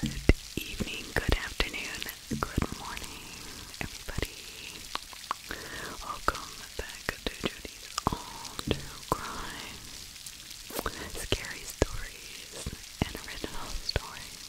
Good evening, good afternoon, good morning, everybody. Welcome back to Judy's All True Scary stories and original stories.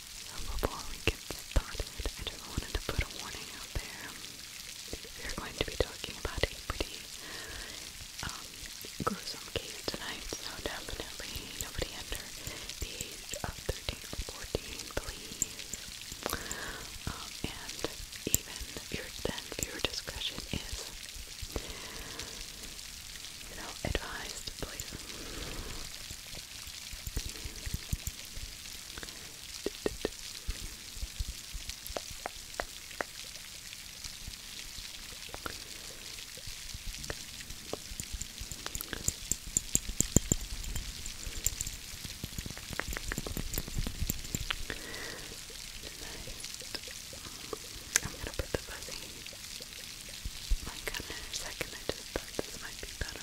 So before we get started, I just wanted to put a warning out there. We're going to be talking about a pretty um, gruesome case tonight, so definitely nobody under the age of 13 or 14, please. Um, and even your then viewer discretion is, you know, advised, please. I'm gonna put the fuzzy. My goodness, I can I just thought this might be better.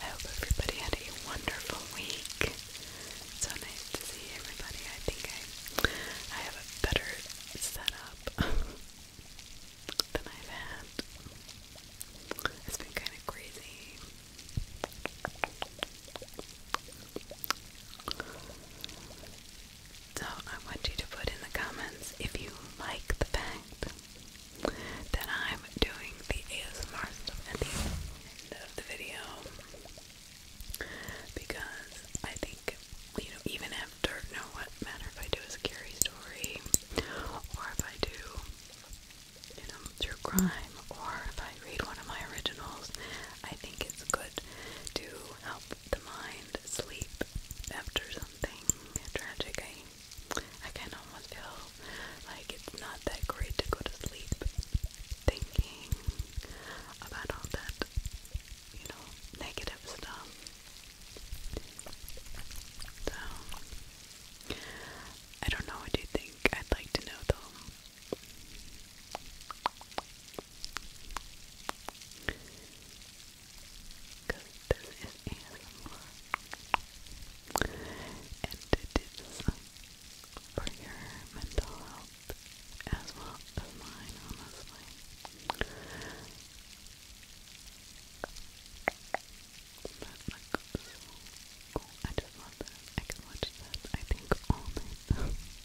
I hope everybody had a wonderful week. It's so to see everybody. I think I I have a better setup than I've had. It's been kind of crazy. So I want you to put in the comments if you like the fact that I'm doing the ASMR at the end of the video because I think you know even after no matter if I do a scary story or if I do you know true crime or if I read one of my originals I think it's good to help the mind sleep after something tragic. I, I kind almost feel like it's not that great to go to sleep thinking about all that, you know, negative stuff. So, I don't know what you think. I'd like to know though. Because this is ASMR. And it is for your mental health as well as mine, honestly. That looks oh, I just love that. I can watch that, I think, all night.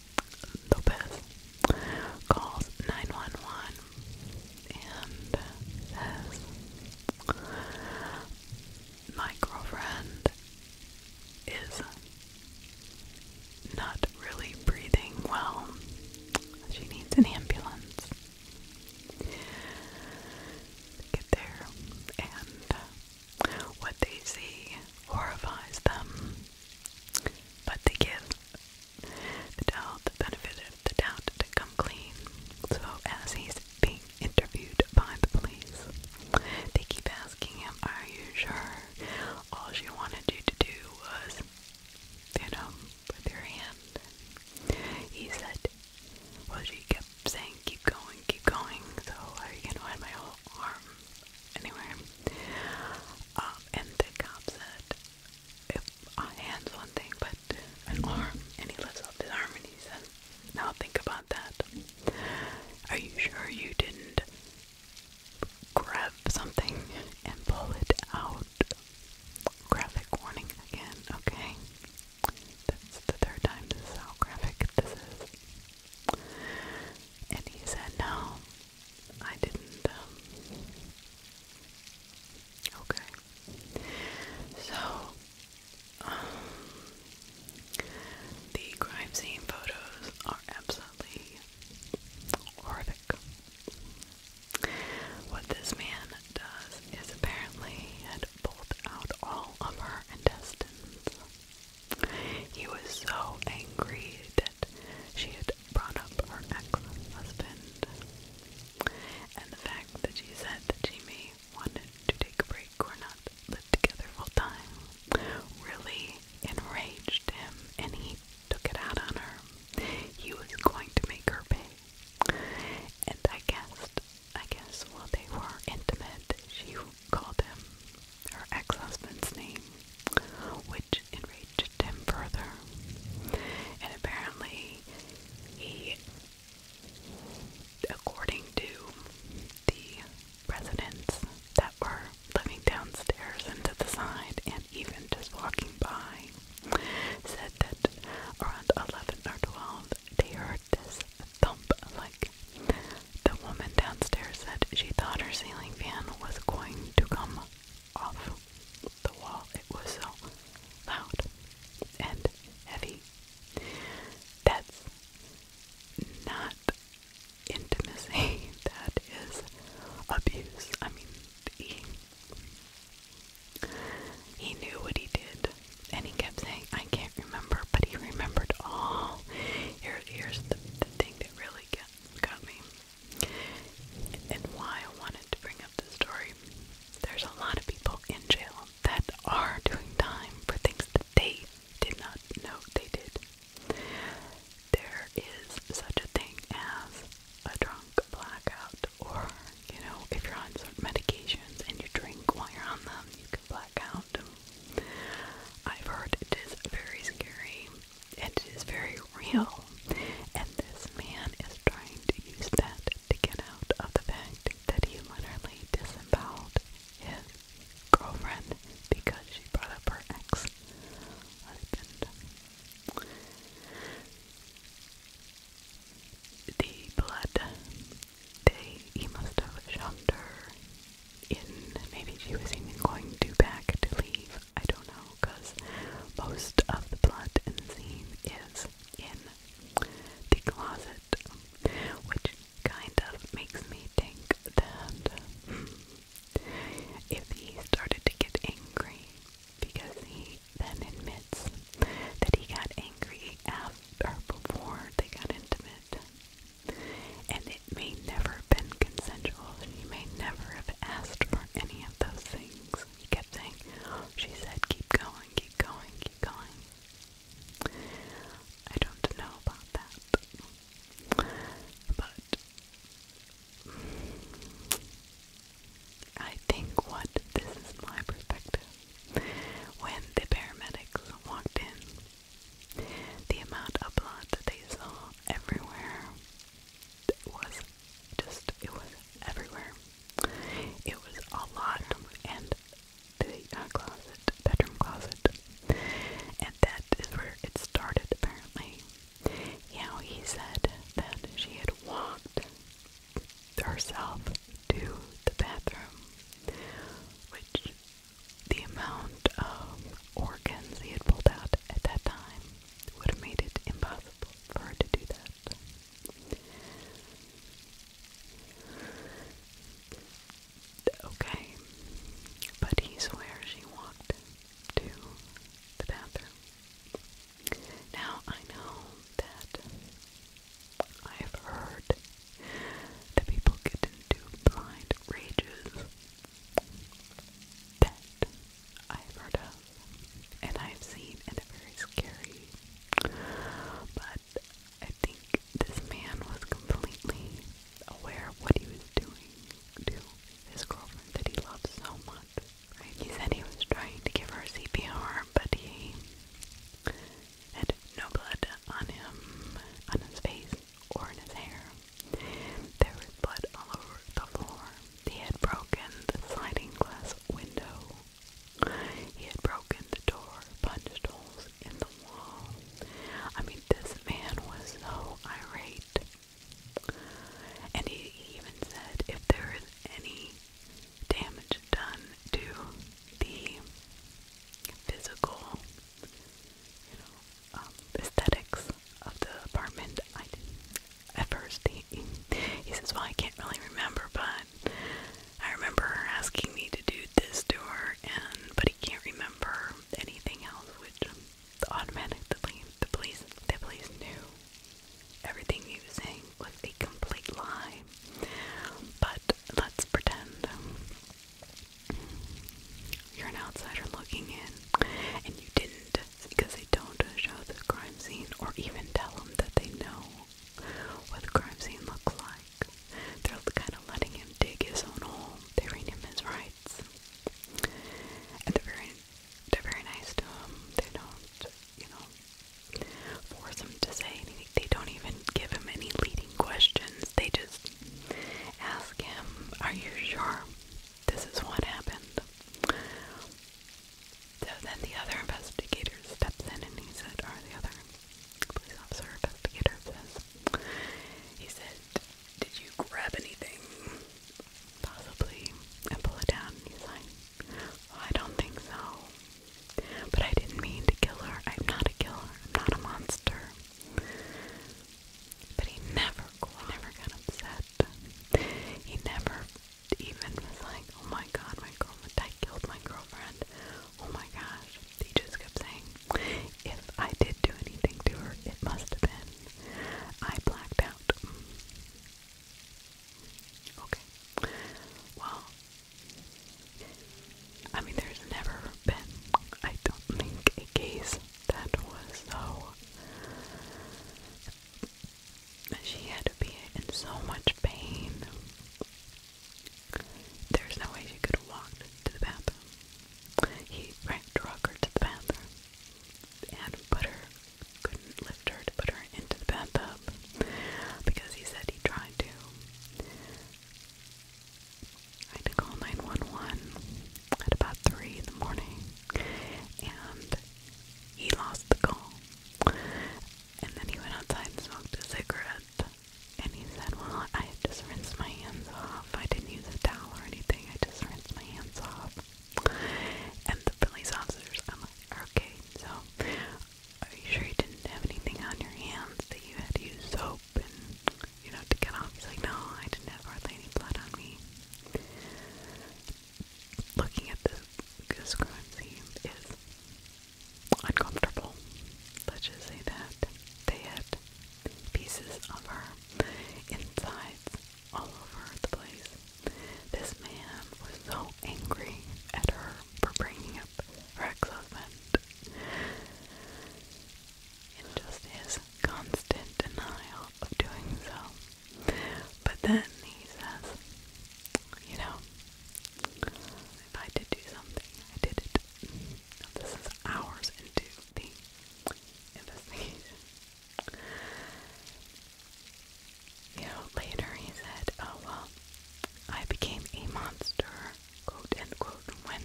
Lopez calls 911 and says, My girlfriend is not really breathing well. She needs an ambulance. Get there, and what they see horrifies them, but they give the doubt, the benefit of the doubt to come clean. So as he's being interviewed by the police, they keep asking him, Are you sure? All she wanted you to do was, you know, with your hand. He said, Well, she kept saying, Keep going, keep going. So, are you going to hide my whole arm? Anyway, um, and the cop said, if hand's one thing, but an arm, and he lifts up his arm and he says, now think about that. Are you sure you didn't grab something and pull it out? Graphic warning again, okay? That's the third time this is how graphic this is. And he said, no, I didn't, um, okay, so, um, the crime scene photos are absolutely horrific. What this man does is apparently had pulled out all of her intestines. He was so angry she had brought up her ex-husband and the fact that she said that she may wanted to take a break or not live together full time really enraged him and he took it out on her. He was going to make her pay. And I guessed, I guess while they were intimate, she called him her ex-husband's name which enraged him further. And apparently, he, according to the residents that were living downstairs and to the side, and even just walking by, said that around 11 or 12 they heard this thump like the woman downstairs said she thought her ceiling fan was going to come off the wall. It was so loud and heavy. That's not intimacy, that is abuse. I mean, he, he knew what he did, and he kept saying, I can't remember, but he remembered all. Here, here's the, the thing that really got, got me. And why I wanted to bring up the story, there's a lot of people in jail that are doing time for things that they did not know they did. There is such a thing as a drunk blackout, or, you know, if you're on certain medications and you drink while you're on them, you can black I've heard it is very scary and it is very real. And this man is trying to use that to get out of the fact that he literally disemboweled his girlfriend because she brought up her ex husband. The blood, they, he must have shoved her in. Maybe she was even going to back to leave. I don't know because most of the blood in the scene is in the closet, which kind of makes me think that hmm, if he started to get angry, because he then admits that he got angry after before they got intimate. And it may never have been consensual. She may never have asked for any of those things. He kept saying, she said, keep going, keep going, keep going. I don't know about that. But I think what this is my perspective. When the paramedics walked in, the amount of blood they saw everywhere was just it was everywhere. It was a lot, and the uh, closet, bedroom closet, and that is where it started apparently. You know, he said that she had walked herself to the bathroom, which the amount of organs he had pulled out at that time would have made it impossible difficult for her to do that. Okay, but he's where she walked to the bathroom. Now I know that I've heard that people get into blind rages that I've heard of and I've seen and they're very scary. But I think this man was completely aware of what he was doing to his girlfriend that he loved so much. Right? He said he was trying to give her CPR, but he had no blood on him, on his face, or in his hair. There was blood all over the floor. He had broken the sliding glass window. He had broken the door, punched holes in the wall. I mean, this man was so irate. And he even said if there is any damage done to the physical, you um, aesthetics of the apartment. at first. He, says, "Well, I can't really remember, but I remember her asking me to do this door." and but he can't remember anything else, which automatically the police the police knew everything he was saying was a complete lie. But let's pretend." You're an outsider looking in, and you didn't because they don't show the crime scene or even tell him that they know what the crime scene looks like. They're kind of letting him dig his own hole. They are read him his rights. And they're very, they're very nice to him. They don't, you know, force him to say anything. They don't even give him any leading questions. They just ask him, are you sure? this is what happened. So then the other investigator steps in and he said, or the other police officer investigator says, he said, did you grab anything? Possibly. And pull it down. He's like, I don't think so. But I didn't mean to kill her. I'm not a killer. I'm not a monster. But he never got upset. He never even was like, oh my god, my girlfriend, I killed my girlfriend. Oh my gosh. He just kept saying, if I did do anything to her, it must have been. I blacked out. Mm. Okay. Well, I mean, there's never been, I don't think, a case that was so and She had to be in so much pain. There's no way she could have walked to the bathroom. He dragged her to the bathroom and put her, couldn't lift her to put her into the bathtub because he said he tried to. I had call 911 at about 3 in the morning and he lost the call. And then he went outside and smoked a cigarette. And he said, Well, I just rinsed my hands off. I didn't use a towel or anything. I just rinsed my hands off. And the police officers, I'm like, Okay, so are you sure you didn't have anything on your hands that you had to use soap and, you know, to get off? He's like, No, I didn't have hardly any blood on me looking at this, this currency is uncomfortable. Let's just say that they had pieces of her insides all over the place. This man was so angry at her for bringing up her ex-husband just his constant denial of doing so but then he says, you know, if I did do something, I did it. Now, this is hours into the investigation. You know, later he said, oh, well, I became a monster, quote unquote, when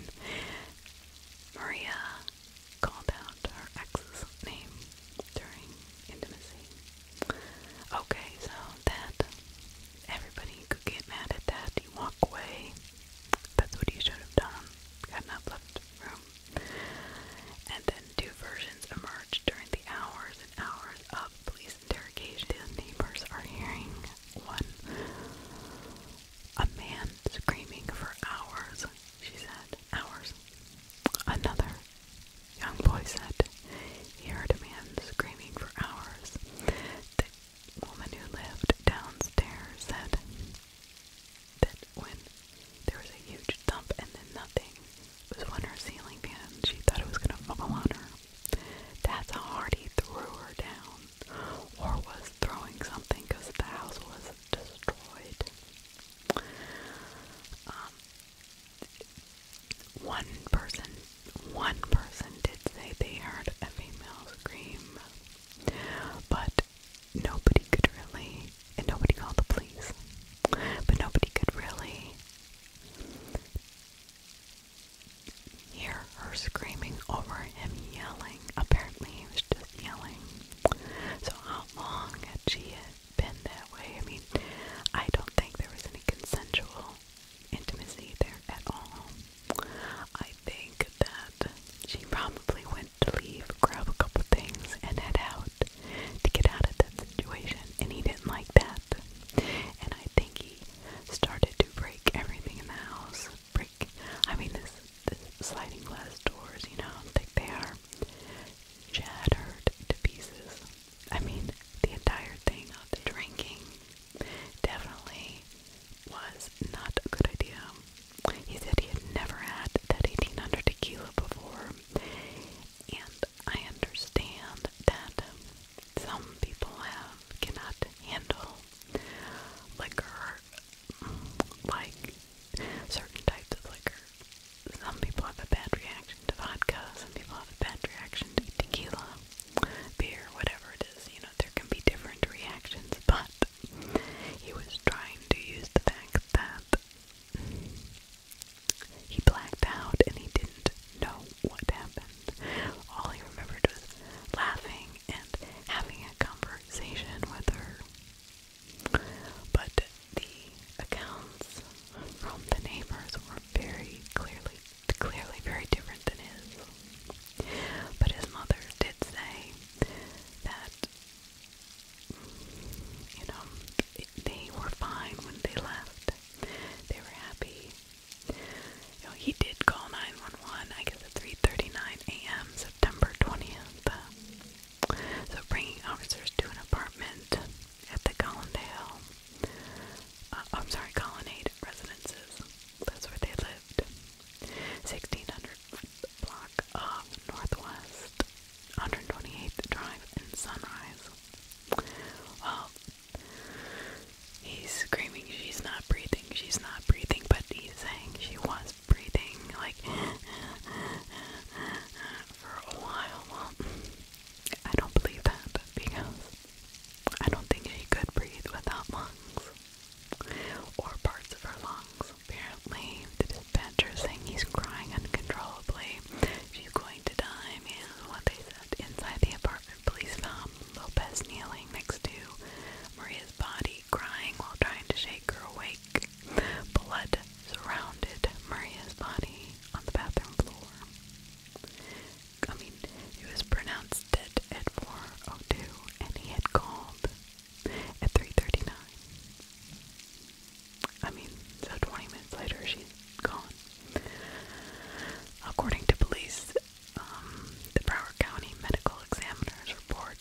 Maria called out her ex's name during intimacy. Okay, so that everybody could get mad at that. You walk away. That's what you should have done. Got enough left room. And then two versions emerged during the hours and hours of police interrogation. neighbors are hearing one a man screaming for hours. She said, hours. Another young boy said. He heard a man screaming for hours. The woman who lived downstairs said that when there was a huge thump and then nothing, it was on her ceiling fan, she thought it was going to fall on her. That's how hard he threw her down, or was throwing something because the house was destroyed. Um, one person, one person did say they heard a female scream, but nobody could really, and nobody called the police, but nobody could really hear her screaming over him yelling. Apparently, he was just yelling. So, how long had she been that way. I mean, I don't think there was any consensual intimacy there at all. I think that she probably went to leave, grab a couple things, and head out to get out of that situation, and he didn't like that. And I think he started to break everything in the house. Break, I mean, this, this sliding glass doors, you know, I think they are shattered to pieces. I mean, the entire thing of the drinking definitely was not a good idea. He said he had never had that 1800 tequila before, and I understand that some people have cannot handle liquor, like certain types of liquor some people have a bad reaction to vodka, some people have a bad reaction to tequila, beer, whatever it is. You know, there can be different reactions, but he was trying to use the fact that he blacked out and he didn't know what happened. All he remembered was laughing and having a conversation with her. But the accounts from the neighbors were very clearly, clearly very different than his. But his mother did say that, you know, they were fine when they left. They were happy. he did call 911, I guess at 3.39 a.m. September 20th. So bringing officers to an apartment at the Collindale, uh, I'm sorry, Colonnade Residences. That's where they lived. 1600 block of Northwest, 128th Drive in Sunrise. Well, he's screaming, she's not breathing, she's not breathing, but he's saying she was breathing, like, for a while. I don't believe that because I don't think he could breathe without lungs or parts of her lungs. Apparently, the dispatcher's saying he's crying uncontrollably. She's going to die, is what they said. Inside the apartment, police found Lopez kneeling next to Maria's body, crying while trying to shake her awake. Blood surrounded Maria's body on the bathroom floor. I mean, he was pronounced dead at four 4.02 and he had called at 3.39. I mean, so 20 minutes later she's gone. According to police, um, the Broward County Medical Examiner's report,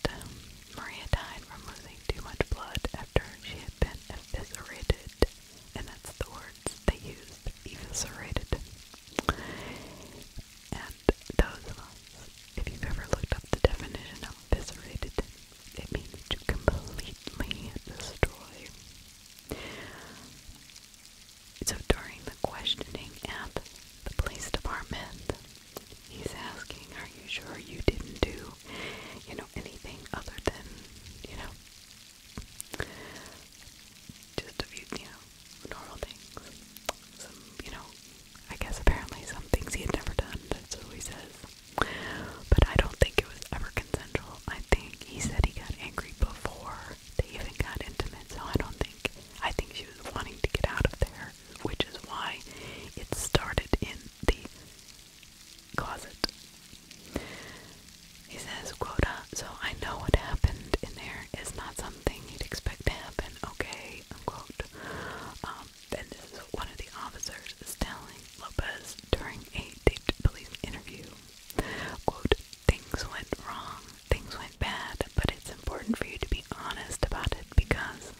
Maria died from losing too much blood after she had been eviscerated and that's the words they used, eviscerated. And those of us, if you've ever looked up the definition of eviscerated, it means to completely destroy. So during the questioning at the police department, he's asking, Are you sure you didn't do, you know, anything other than, you know, just a few, you know, normal things. Some, you know, I guess apparently some things he had never done, that's what he says. But I don't think it was ever consensual. I think he said he got angry before they even got intimate, so I don't think, I think she was wanting to get out of there, which is why it started in the he says, quota, so I know what happened in there is not something you'd expect to happen, okay, and um, one of the officers is telling Lopez during a taped police interview, things went wrong, things went bad, but it's important for you to be honest about it because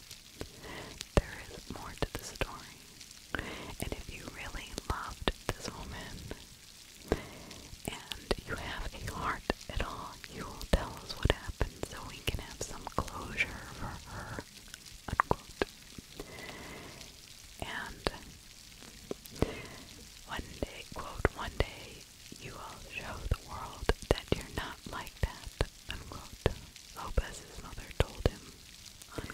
there is more to the story. And if you really loved this woman, and you have a heart at all, you will tell us what happened so we can have some closure for her, unquote. And one day, quote, one day you will show the world that you're not like that, unquote, Lopez's mother told him on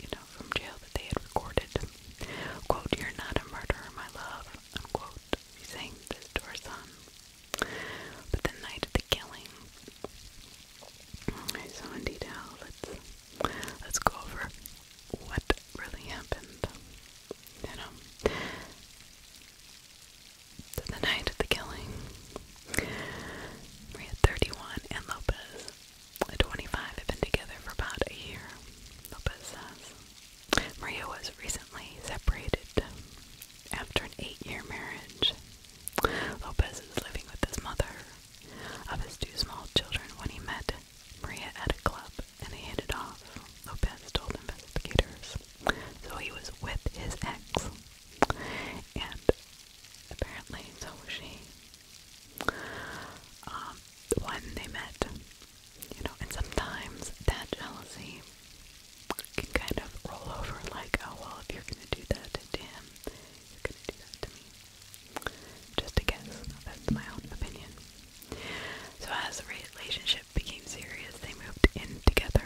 you know, from jail that they had recorded. Quote, You're not a murderer, my love, unquote. He sang this to her son. But the night of the killing so in detail, let's let's go over what really happened. You know. the night of the killing, Maria 31 and Lopez 25 have been together for about a year. Lopez says. Maria was recently separated after an eight year marriage. Lopez is living with his mother of his two small children when he met Maria at a club and he hit it off, Lopez told investigators. So he was with his ex. And apparently so was she um, when they met. You know, and sometimes that jealousy can kind of roll over like, oh, well, if you're gonna do that to him, you're gonna do that to me. Just a guess. That's my own opinion. So as the relationship became serious, they moved in together.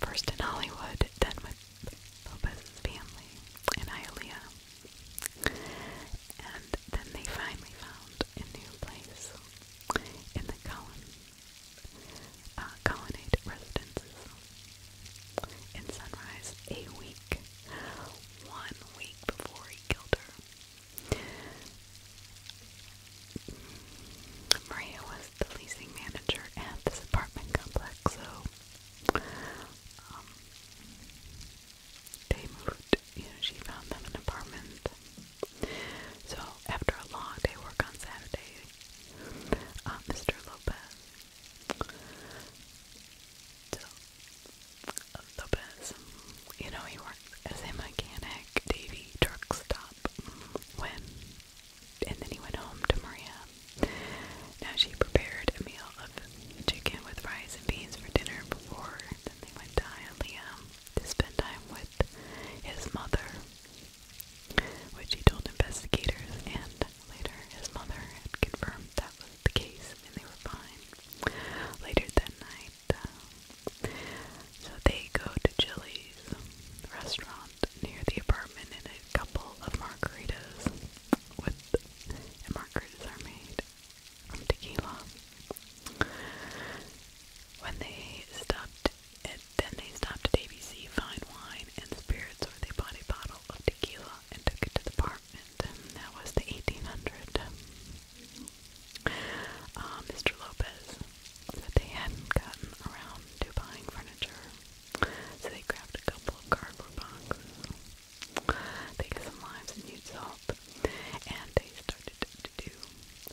First in Hollywood, then with Lopez's family and Hialeah. And then they finally found a new place in the Cullen, uh, Residences in Sunrise a week, one week before he killed her. Maria was the leasing manager at this apartment complex, so um, they moved, you know, she found them an apartment. So after a long day work on Saturday, uh, Mr. Lopez, Lopez, you know, he worked as a mechanic, Davy truck stop, when, and then he went home to Maria. Now she prepared a meal of chicken with rice and beans for dinner before then they went to Hialeah to spend time with his mother, which he told investigators, and later his mother had confirmed that was the case and they were fine. Later that night, uh, so they go to Chili's restaurant near the apartment and a couple of margaritas with and margaritas are made from tequila. When they stopped at then they stopped at ABC Fine Wine and Spirits where they bought a bottle of tequila and took it to the apartment. That was the 1800. Uh, Mr. Lopez said they hadn't gotten around to buying furniture, so they grabbed a couple of cardboard boxes they got some limes and huge salt, and they started to do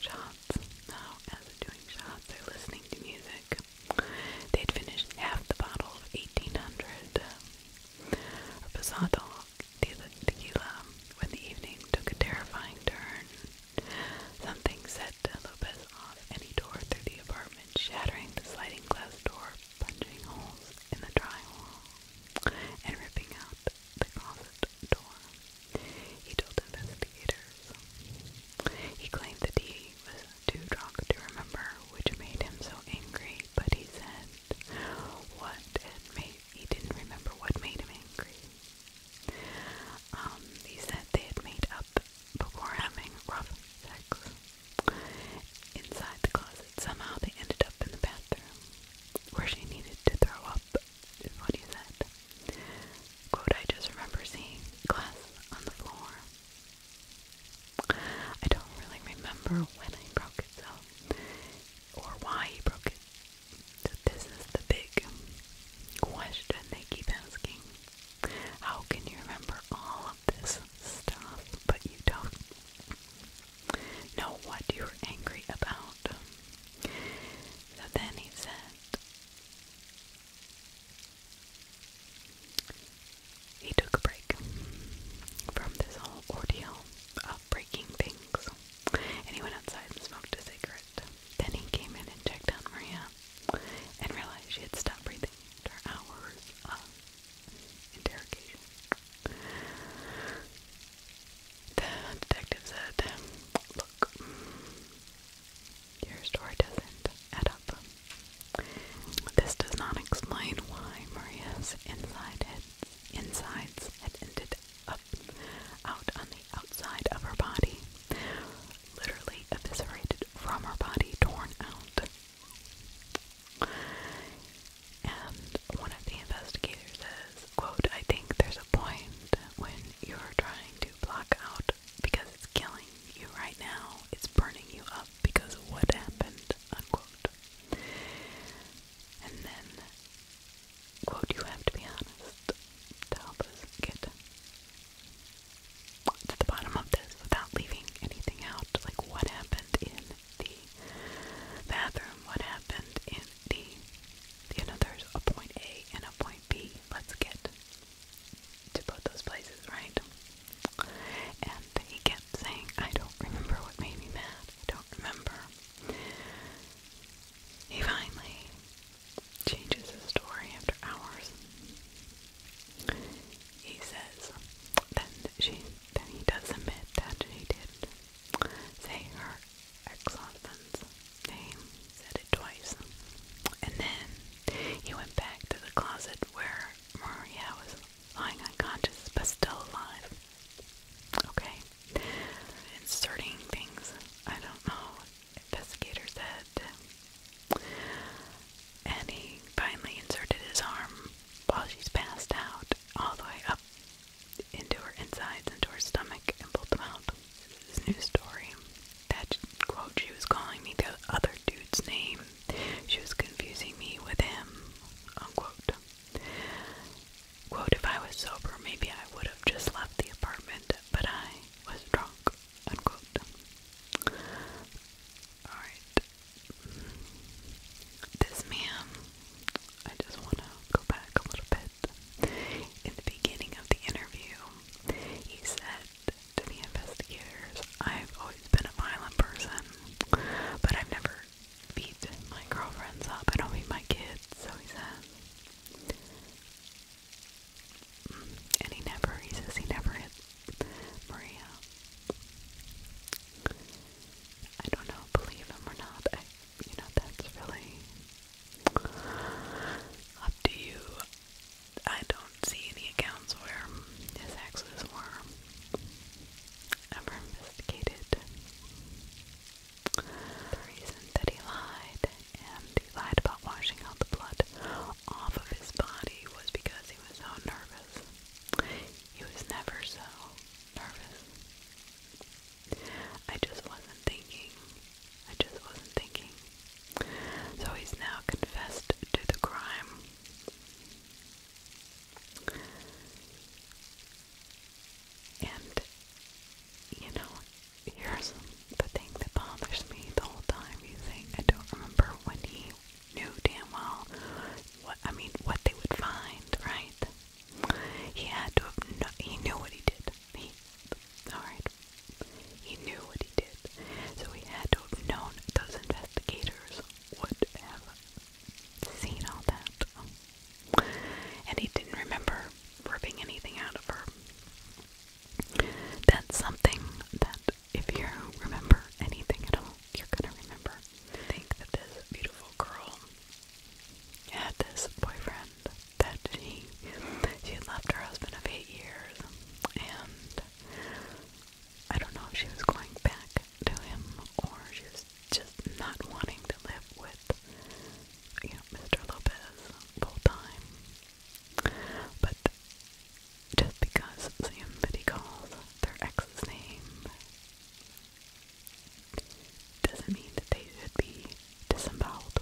shots. Now, as they're doing shots, they're listening to music. They'd finished half the bottle of 1800 Rosado uh, tequila when the evening took a terrifying turn. Something set uh, Lopez off, and he tore through the apartment, shattering the sliding glass door, punching holes in the drywall, and ripping out the closet door, he told investigators. He claimed that he was too drunk to remember, which made him so angry, but he said what made he didn't remember what made him angry. Um, he said they had made up before having rough sex inside the closet. Somehow they ended up in the bathroom, where she needed to throw up, is what he said. Quote, I just remember seeing glass on the floor. I don't really remember when I broke it, so, or why he broke it. So this is the big question they keep asking. How can you remember all of this stuff, but you don't? know what you were angry about. So then he said, he took a break from this whole ordeal of breaking things and he went outside and smoked a cigarette. Then he came in and checked on Maria and realized she had stopped breathing after hours of interrogation. The detective said, Look, your story doesn't add up. This does not explain why Maria's insides ended up out on the outside of her body, literally eviscerated from her body, torn out. And one of the investigators says, quote, I think there's a point when you're trying to block out because it's killing you right now. It's burning you up because of what happened, unquote. And then, quote, you have to be honest to help us get to the bottom of this without leaving anything out. Like what happened in the bathroom, what happened in the, you know, there's a point A and a point B. Let's get to both those places, right? And he kept saying, I don't remember what made me mad. I don't remember. He finally changes his story after hours. He says, then she, then he does admit that she did say her ex name. He said it twice. And then he went back to the closet where Maria was lying unconscious but still alive. Okay. Inserting things, I don't know, investigators said. And he finally inserted his arm while she's passed out all the way up into her insides, into her stomach, and pulled them out. This new story. That quote, she was calling me the other dude's name. She was confusing me with him. Unquote. Quote, if I was sober, maybe I would have just left the apartment, but I was drunk. Unquote. Alright. This man, I just want to go back a little bit with. In the beginning of the interview, he said to the investigators, I've always been a violent person, but I've never beat my girlfriends up. I don't beat my kids, so he says. And he never, he says he never hit Maria. I don't know, believe him or not. I you know, that's really up to you. I don't see any accounts where his exes were ever investigated. The reason that he lied, and he lied about washing out the blood off of his body, was because he was so nervous. He was never so nervous. I just wasn't thinking. I just wasn't thinking. So he's now confessed to the crime. And, you know, here's the thing that bothers me the whole time. You think, I don't remember when he knew damn well what, I mean, what they would find, right? He had to have, he knew what he did. He, alright, he knew what he did, so he had to known those investigators would have seen all that. And he didn't remember ripping anything out of her. That's something that, if you remember anything at all, you're gonna remember. I think that this beautiful girl had this boyfriend that she she had left her husband of eight years, and I don't know if she was going back to him or she was just not wanting to live with you know Mr. Lopez full time. But just because somebody calls their ex's name doesn't mean that they should be disemboweled.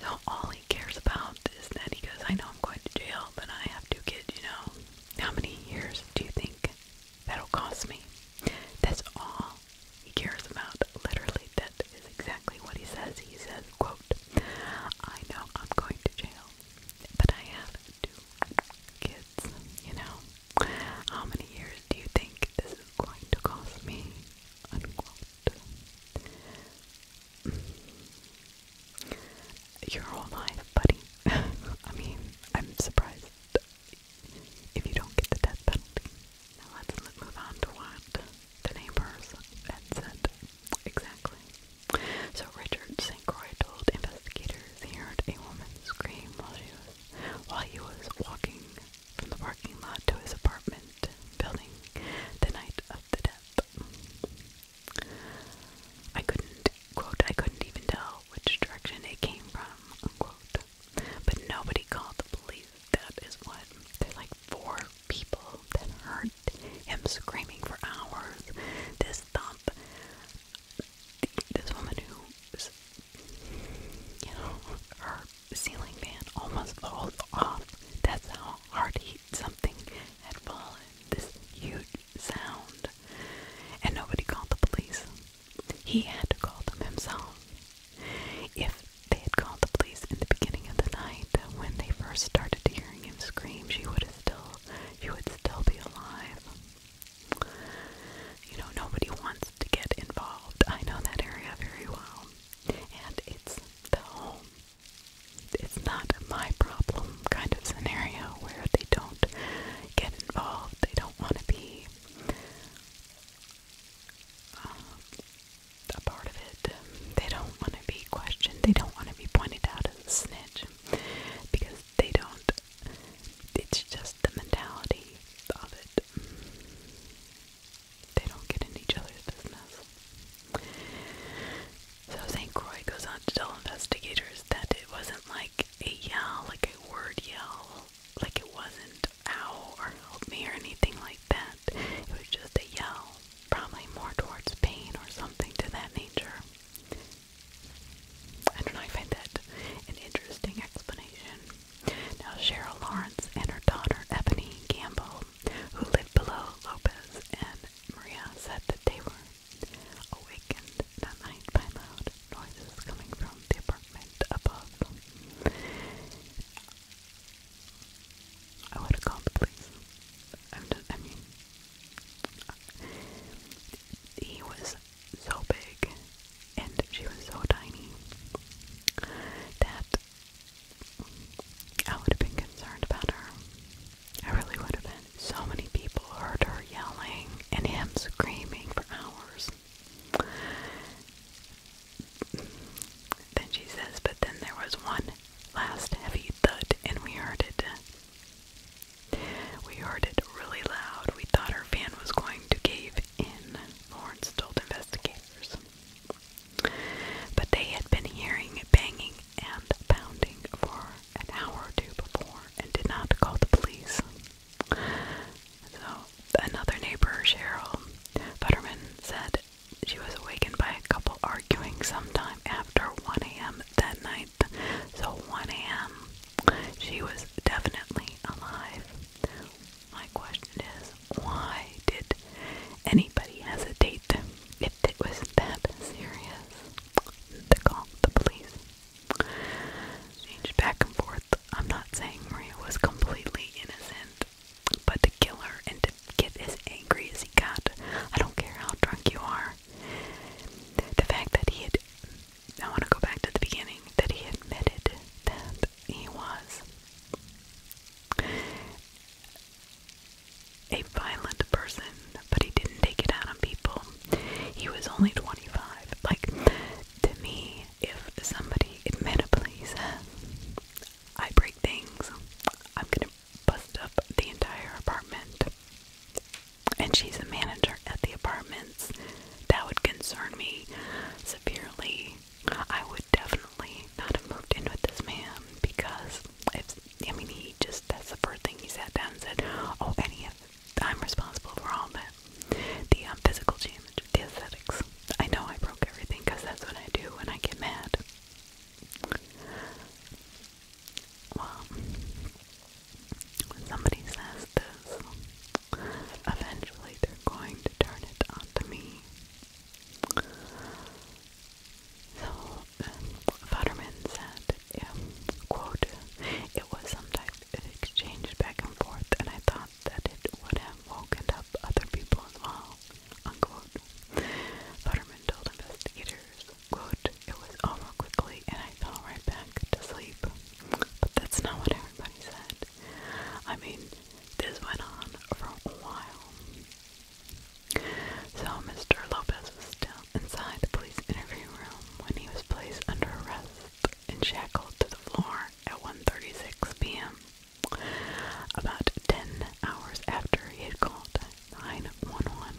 So all he cares about is that he goes, I know I'm going to jail, but I have two kids, you know. How many years do you think that'll cost me? That's all he cares about. Literally, that is exactly what he says. He says, quote, I know I'm going to jail, but I have two kids you know. How many years do you think this is going to cost me? Unquote. Your whole life, buddy. I mean, I'm surprised if you don't get the death penalty. Now let's move on to what the neighbors had said. Exactly. So Richard St. Croix told investigators he heard a woman scream while she was while he was walking from the parking lot to his apartment building the night of the death. I couldn't, I couldn't even tell which direction it came from, But nobody called the police. That is what, what—they're like four people that heard him screaming for hours. This thump, this woman who you know, her ceiling fan almost falls off. That's how hard he, something had fallen. This huge sound. And nobody called the police. He had to call them himself. If they had called the police in the beginning of the night, when they first started hearing him scream, she would have still, she would still be alive you know, nobody wants to get involved. I know that area very well. And it's the home. It's not my problem kind of scenario where they don't get involved. They don't want to be uh, a part of it. They don't want to be questioned. They don't want to be pointed out as a snitch because they don't. It's just the mentality of it they don't get in each other's business. So St. Croix goes on to tell investigators that it wasn't like a yell, like a word yell, like it wasn't ow or help me or anything like that. It was just a yell, probably more towards pain or something to that nature. I don't know, I find that an interesting explanation. Now Cheryl Lawrence and her daughter Ebony Gamble, who lived below Lopez and Maria, said that they were awakened that night by loud noises coming from the apartment above. I would have called the police. I'm just, I mean, he was so big and she was so tiny that I would have been concerned about her. I really would have been. So many people heard her yelling and him screaming for hours. Then she says, but then there was one last heavy thud and we heard it. We heard it really loud. We thought our van was going to cave in. Lawrence told investigators. But they had been hearing banging and pounding for an hour or two before and did not call the police. So another neighbor, Cheryl Futterman, said she was awakened by a couple arguing sometime after 1 a.m. that night. So 1 a.m. She was definitely alive. My question is, why did anybody hesitate if it was that serious to call the police? Changed back and forth. I'm not saying Maria was completely innocent, but to kill her and to get as angry as he got, I don't care how drunk you are. The fact that he had I want to go back to the beginning that he admitted that he was a violent person, but he didn't take it out on people. He was only 25. Like, to me, if somebody admittedly please, I break things, I'm gonna bust up the entire apartment. And she's a manager at the apartments. That would concern me severely. I would definitely not have moved in with this man because it's, I mean, he just, that's the first thing he sat down and said, oh, and he, I'm responsible for all that. The um, physical damage, the aesthetics. I know I broke everything because that's what I do when I get mad. Well, when somebody says this, Eventually, they're going to turn it onto me. So, um, Futterman um, said, yeah, quote, it was some type of exchange back and forth, and I thought that it would have woken up other people as well, unquote. Futterman told investigators, quote, it was over quickly, and I fell right back to sleep. But that's not what everybody said. I mean, this went on for a while. So, Mr. Lopez was still inside the police interview room when he was placed under arrest and shackled to the floor at 1.36 p.m. About 10 hours after he had called 911.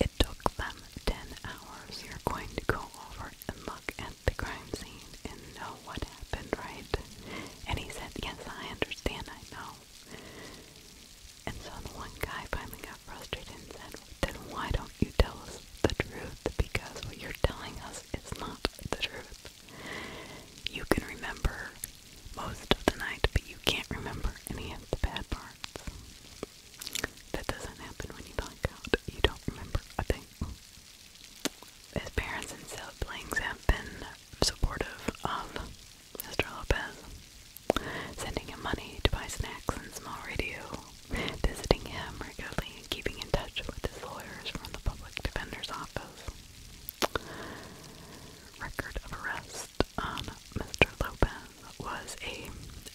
It took them 10 hours. You're going to go over and look at at the crime scene and know what happened, right? And he said, Yes, I understand, I know. And so the one guy finally got frustrated and said, Then why don't you tell us the truth? Because what you're telling us is not the truth. You can remember most of the night, but you can't remember any of the bad parts. That doesn't happen when you black out. You don't remember a thing his parents and siblings have been supportive of Mr. Lopez, sending him money to buy snacks and small radio, visiting him regularly, and keeping in touch with his lawyers from the public defender's office. Record of arrest on Mr. Lopez was a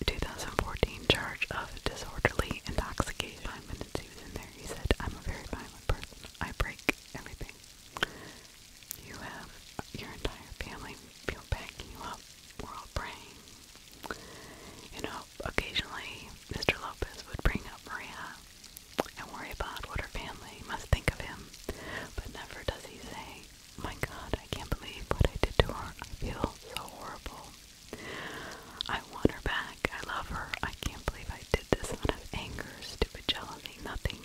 2014 charge of disorderly intoxication. Five minutes he was in there. He said, I'm a very violent person. I break everything. You have your entire family feel backing you up. We're all praying. You know, occasionally Mr. Lopez would bring up Maria and worry about what her family must think of him. But never does he say, My God, I can't believe what I did to her. I feel so horrible. I want her back. I love her. I can't believe I did this out of anger, stupid jealousy, nothing.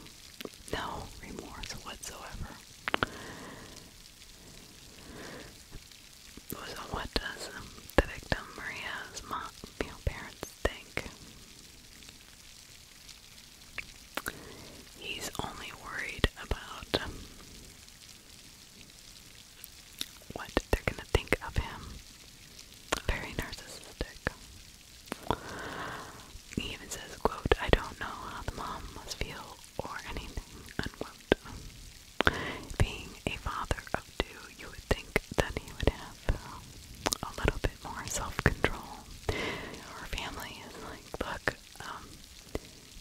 No remorse whatsoever. So what does um, the victim Maria's mom, parents think? He's only worried about um, what they're gonna think of him. Very narcissistic. He even says, quote, I don't know how the mom must feel or anything, Being a father of two, you would think that he would have a little bit more self-control. Our family is like, look, um,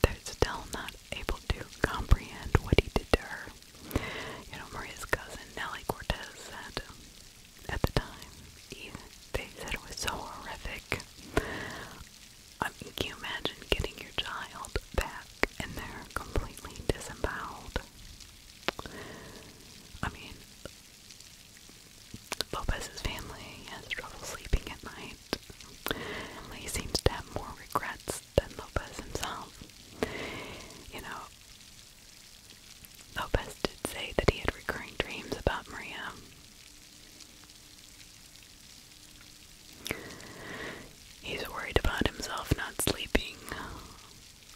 they're still not able to comprehend what he did to her. You know, Maria's cousin, Nelly Cortez, said at the time, he, they said it was so horrific. I mean, can you imagine getting your child back and they're completely disemboweled? I mean, Lopez's family has trouble sleeping at night. He seems to have more regrets than Lopez himself. You know, Lopez did say that he had recurring dreams about Maria. He's worried about himself not sleeping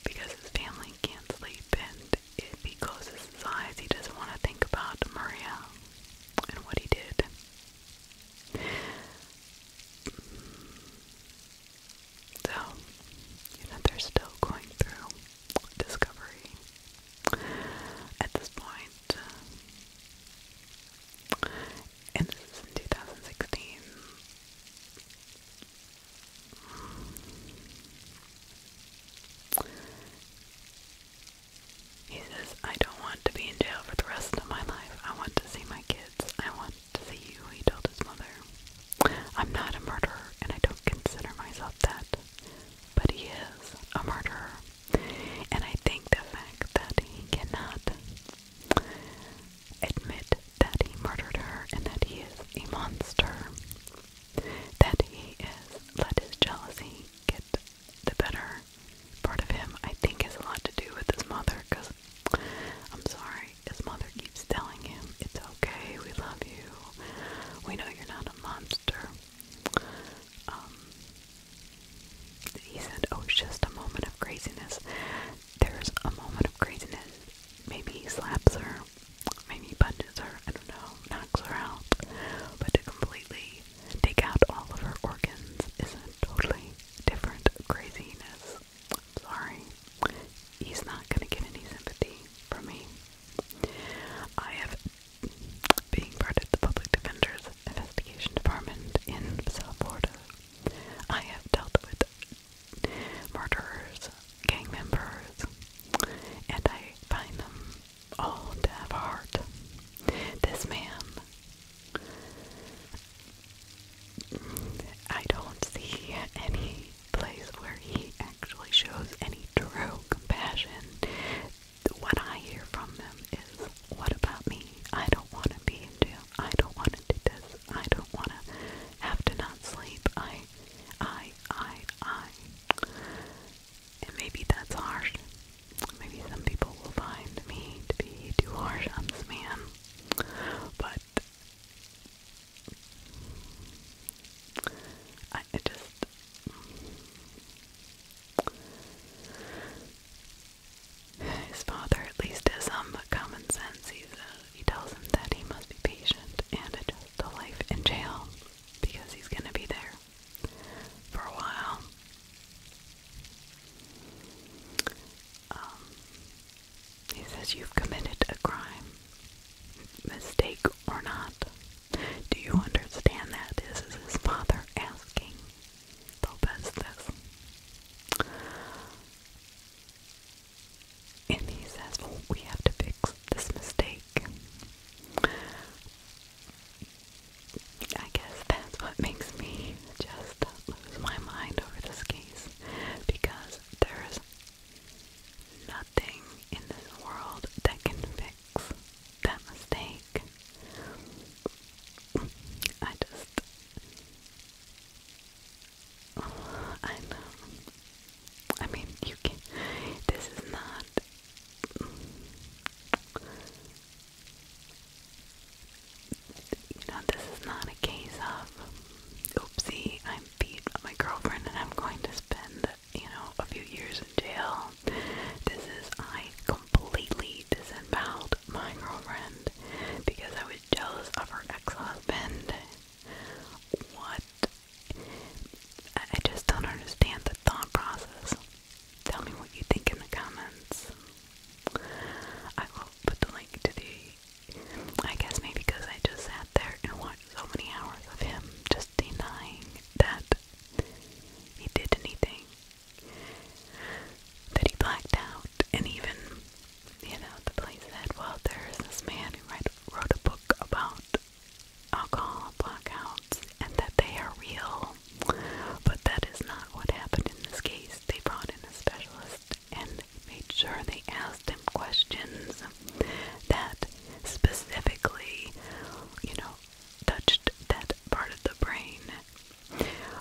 because his family can't sleep, and if he closes his eyes, he doesn't want to think about Maria and what he did. So, you know, they're still going through discovery at this And this is in 2016. He says, I don't want to be in jail for the rest of my life. I want to see my kids. I want to see you, he told his mother. I'm not a murderer, and I don't consider myself that. But he is a murderer. And I think the fact that he cannot admit that he murdered her and that he is a monster, that he is, let his jealousy get the better part of him, I think has a lot to do with his mother because I'm sorry, his mother keeps telling him, It's okay, we love you. We know you're not a monster. Um, he said, Oh, it's just a moment of craziness. There's a moment of craziness. Maybe he slaps her, maybe he punches her, I don't know, knocks her out. But to completely take out all of her organs is a totally different craziness. Sorry, he's not gonna get any sympathy from me. I have, been part of the public defender's investigation department in South Florida, I have dealt with murderers, gang members, and I find them all to have heart. This man, I don't see any place where he actually shows any true compassion. What I hear from them is, what about me? I don't want to be in jail. I don't want to do this. I don't want to have to not sleep. I, I, I, I. And maybe that's harsh. Maybe some people will find me to be too harsh on this man. But I, just his father at least has some common sense. He's uh, he tells him that he must be patient and adjust to life in jail because he's gonna be there for a while. Um, he says, You've committed a crime. Mistake or not. Do you understand that? This is his father asking Lopez this. And he says, we have to fix this mistake. I guess that's what makes me just lose my mind over this case because there's Nothing in this world that can fix that mistake. I just. I know. I mean, you can. This is not. You know, this is not a case of oopsie, beat my girlfriend and I'm going to spend, you know, a few years in jail. This is, I completely disemboweled my girlfriend because I was jealous of her ex-husband. What? I, I just don't understand the thought process. Tell me what you think in the comments. I will put the link to the I guess maybe because I just sat there and watched so many hours of him just denying that he did anything, that he blacked out, and even, you know, the police said, well, there is this man who write, wrote a book about alcohol blackouts and that they are real, but that is not what happened in this case. They brought in a specialist and made sure they asked him questions that specifically, you know, touched that part of the brain.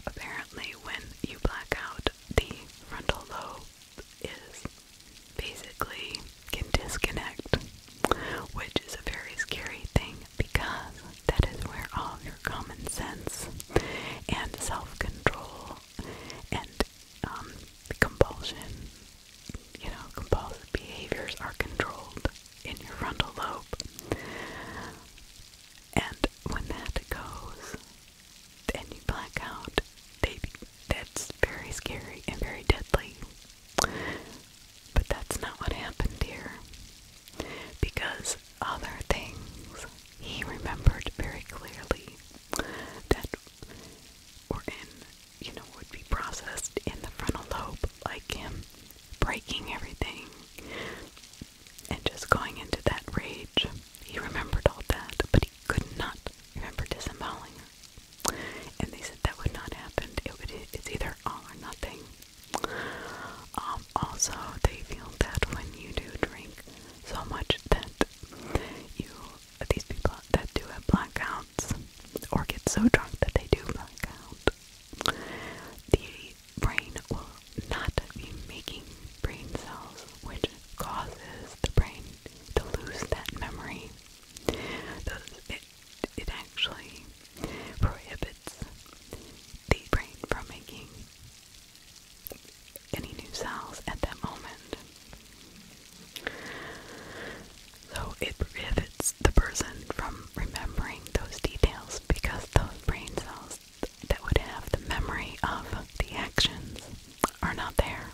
Apparently, when you black out, the frontal lobe is basically can disconnect, which is a very scary thing because that is where all your common sense and self control and um, compulsion, you know, compulsive behaviors are controlled in your frontal lobe. And when that goes and you black out, they, that's very scary and very deadly. But that's not what happened here. Because other things he remembered very clearly that or in, you know, would be processed in the frontal lobe, like him breaking everything and just going into that rage. He remembered all that, but he could not remember disemboweling her. And they said that would not happen. It would, it's either all or nothing. Um, also, they feel that when you do drink so much that you these people that do have blackouts or get so drunk that they do black the brain will not be making brain cells, which causes the brain to lose that memory. it actually prohibits the brain from making any new cells at that moment. So it prevents the person from remembering those details because those brain cells that would have the memory of the actions are not there.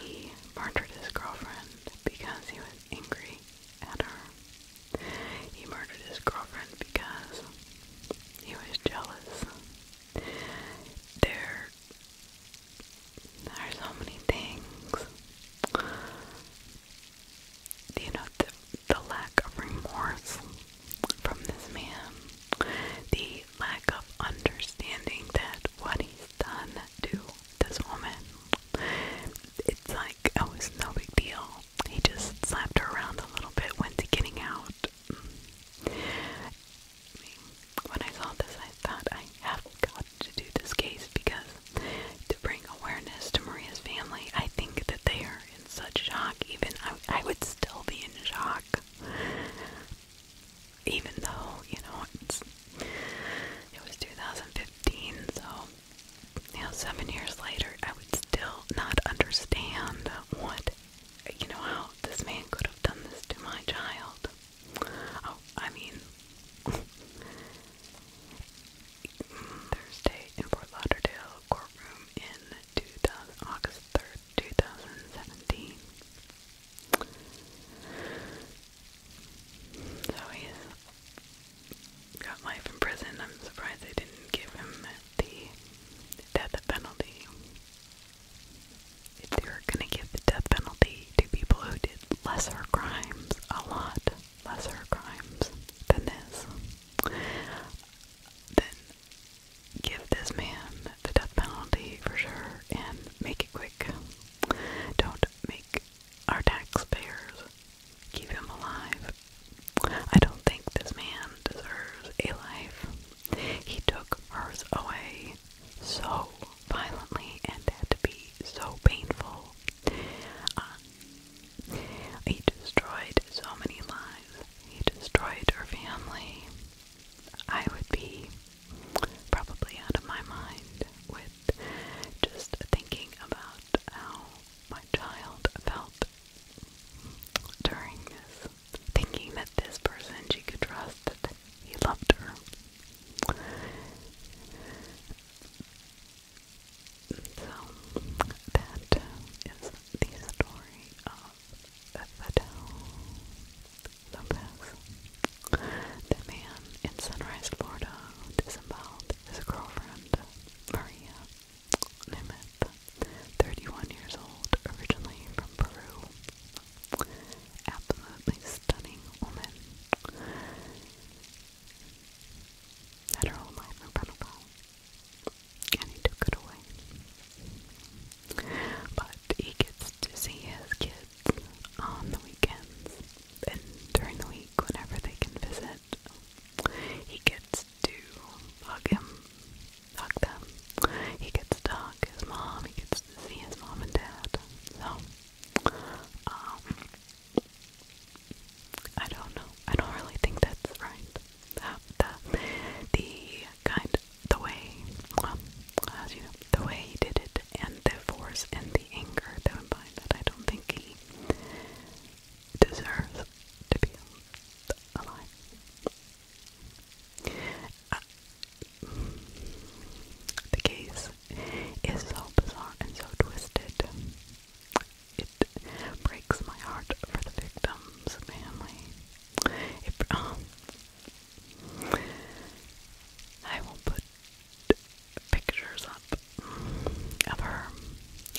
He murdered his girlfriend because he was angry at her. He murdered his girlfriend because he was jealous. There there's so many things. You know, the, lack of remorse from this man, the lack of understanding that what he's done to this woman, it's like, oh, it's no big deal. He just slapped her around a little bit, went to getting out. When I saw this, I thought I have got to do this case because to bring awareness to Maria's family, I think that they are in such shock. Even I, I would still be in shock, even though you know it's it was 2015, so you know seven years later, I would still not understand what you know how this man could have done this to my child. Oh, I mean, Thursday in Fort Lauderdale courtroom in 2000, August 3rd, 2017. So he got life in prison. I'm surprised they didn't give him the death penalty if they are going to give the death penalty to people who did lesser crimes, a lot lesser crimes than this, then give this man the death penalty for sure and make it quick. Don't make our taxpayers keep him alive. I don't think this man deserves a life. He took ours away so violently and had to be so painful. Um, he destroyed so many lives. He destroyed her family. I would be probably out of my mind with just thinking about how my child felt during this. Thinking that this person she could trust, that he loved her. So, that is the story of Fidel Lopez, the man in Sunrise, Florida, who his girlfriend, Maria Nemeth, 31 years old, originally from Peru, Absolutely stunning woman. Had life in And he took it away. But he gets to see his kids on the weekends and during the week whenever they can visit. He gets to hug him, hug them. He gets to hug his mom, he gets see his mom and dad. So, um, I don't know. I don't really think that's right. That, that, the kind, the way, as you know, the way he did it, and the force and the anger that went behind that, I don't think he deserves to be alive. Uh, the case is so bizarre and so twisted. It breaks my heart for the victim's family. Um, I will put pictures up of her,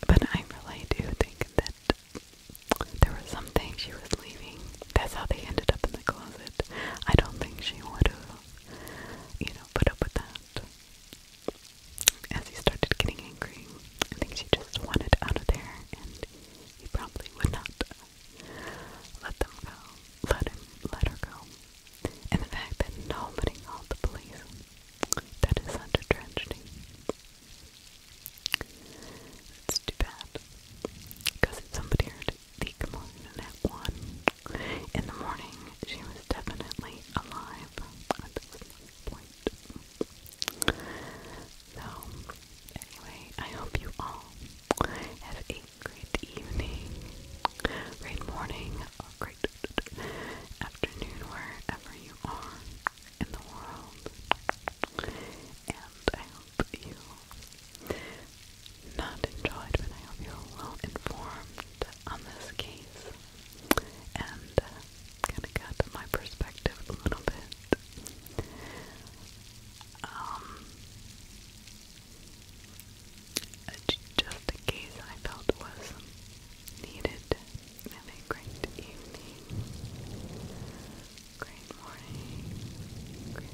but I really do think that there was something she was leaving. That's how they ended up closet. I don't think she would have, you know, put up with that. As he started getting angry, I think she just wanted out of there, and he probably would not let them go. Let him, let her go. And the fact that nobody called the police, that is such tragedy. It's too bad. Because if somebody heard the Morning Annette one. In the morning, she was definitely alive. That anyway, I hope you all have a great evening, great morning, or great afternoon, wherever you are in the world. And I hope you not enjoyed, but I hope you well informed on this case and uh, kind of got my perspective a little bit. Um, just a case I felt was needed. Have a great evening, great morning,